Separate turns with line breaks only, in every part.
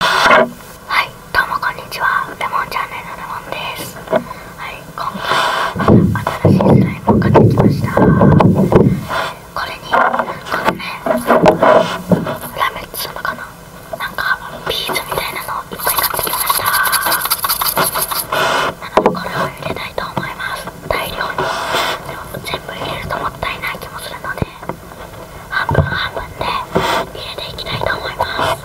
はいどうもこんにちはレモンチャンネルのレモンですはい今回は新しいスライムを買ってきましたこれにこのねラメっつうのかななんかビーズみたいなのをいっぱい買ってきましたなのでこれを入れたいと思います大量に全部入れるともったいない気もするので半分半分で入れていきたいと思います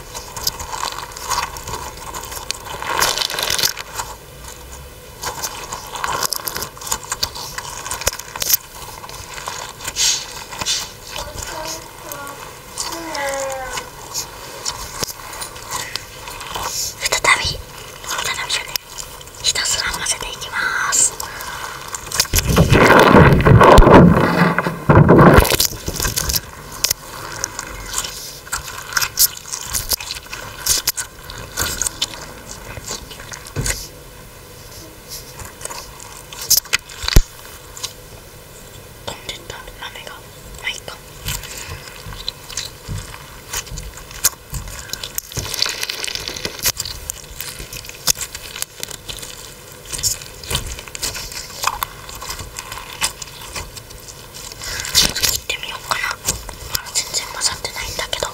再び再びじゃねひたすら混ぜていきます飛んでった豆がまあいいちょっと切ってみようかなあ全然混ざってないんだけど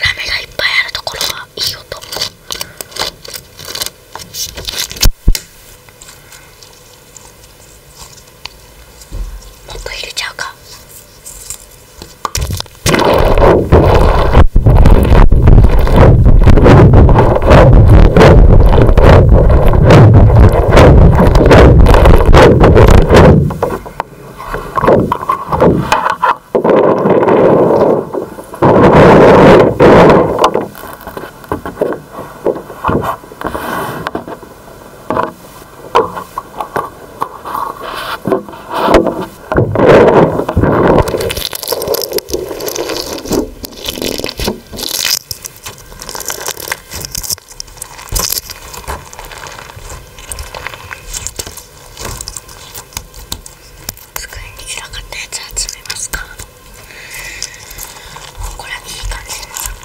ラメがいっぱいあるところはいい音。もっと入れちゃうか。机に散らかったやつ集めますかこれはいい感じです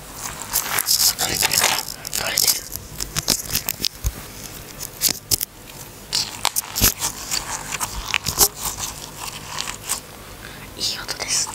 取れてる取れてるいい音です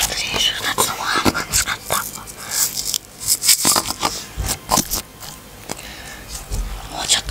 先週夏のご飯が使ったもうちょっと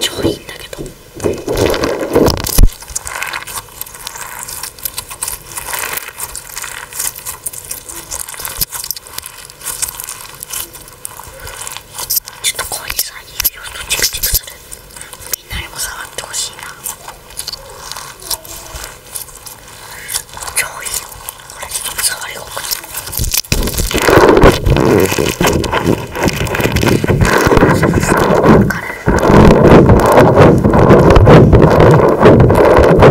超いいんだけど。ちょっとこういうさ指をっとチクチクするみんなにも触ってほしいな超いいよこれちょっと触う。心地いい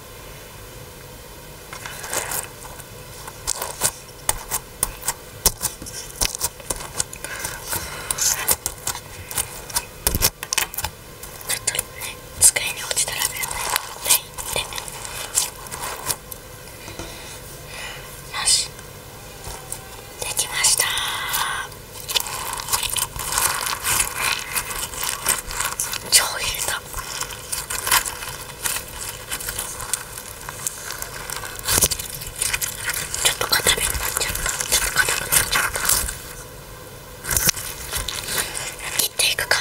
とね机に落ちたら目をねっていってよしできました超いいしたちょっと固めになっちゃったちょっと固くなっちゃった切っていくか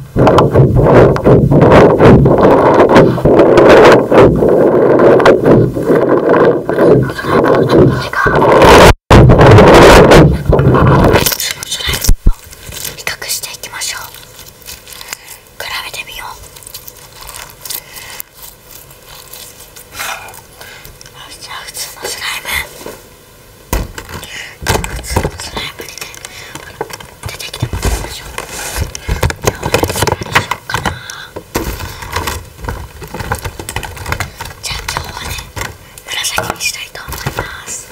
比較していきましょう比べてみようじゃあ普通のスライムじゃあその辺までね出てきてもらいましょう今日は何しようかなじゃあ今日はね紫にしたいと思います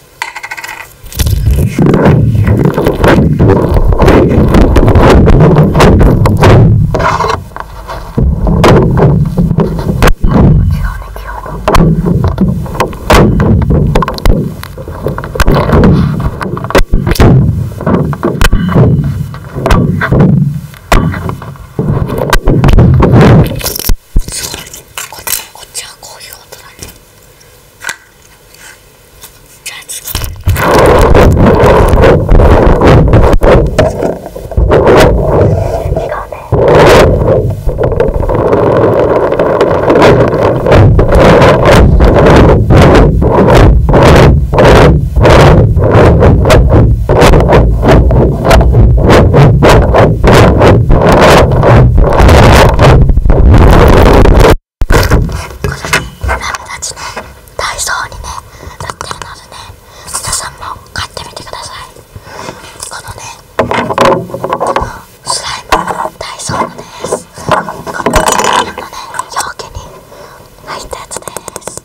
こっちはこういう音だね。じゃあ次たちねダイソーにね売ってるのでね皆さんも買ってみてくださいこのねスライムダイソーのですこのスライムのね容器に入ったやつです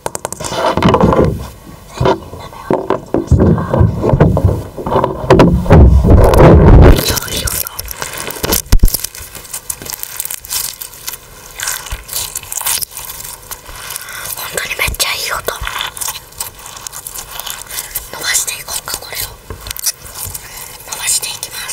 ぜひ舐めをしてましめっちゃいい音。当にめっちゃいい音伸ばしていこうかこれを伸ばしていきます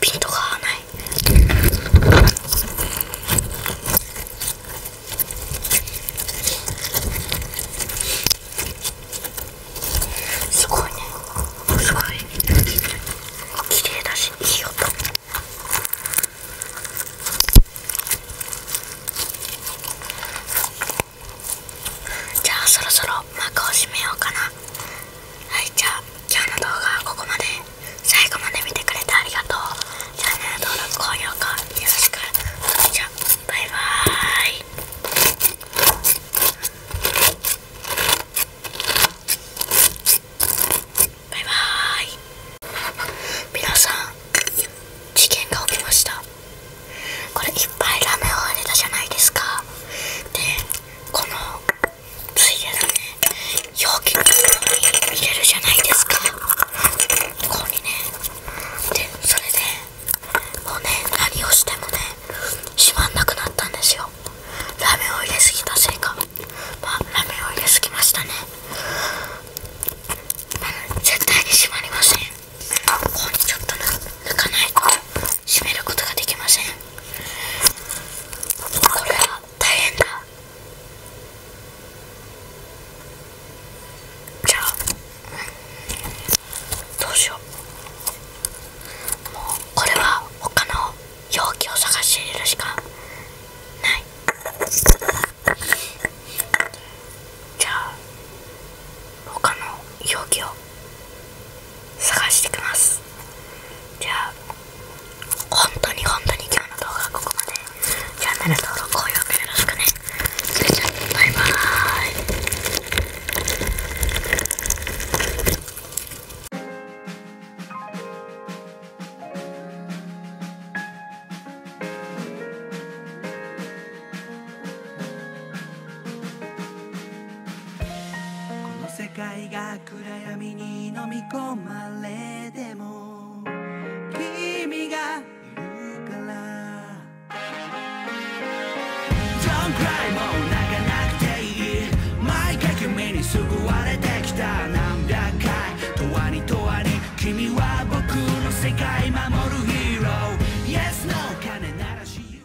ピントが合わないすごいねすごい綺麗だしいい音。じゃあそろそろ幕を閉めようかなはいじゃあ今日の動画はここまで最後まで見てくれてありがとうチャンネル登録高評価よろしくそれじゃバイバーイバイバーイ皆さん事件が起きましたこれいっぱいラメを入れたじゃないですかでこのついでだね容器に入れるじゃないですかここにねでそれでもうね何をしてもね閉まんなくなったんですよラメを入れすぎたせいかまあラメを入れすぎましたね、まあ、絶対に閉まりませんここにちょっと抜かないと閉めることができませんこれは大変だじゃあどうしようもうこれは他の容器を探して入れるしかないじゃあ他の容器を探してきますじゃあ本当に本当に今日の動画はここまでチャンネル登録高評価よろしくねそれじゃあバイバーイこの世界が暗闇に飲み込まれても君がいるから Don't ど t くらいも泣かなくていい毎回君に救われてきた何百回とわにとわに君は僕の世界守るヒーロー Yes, no 金ならし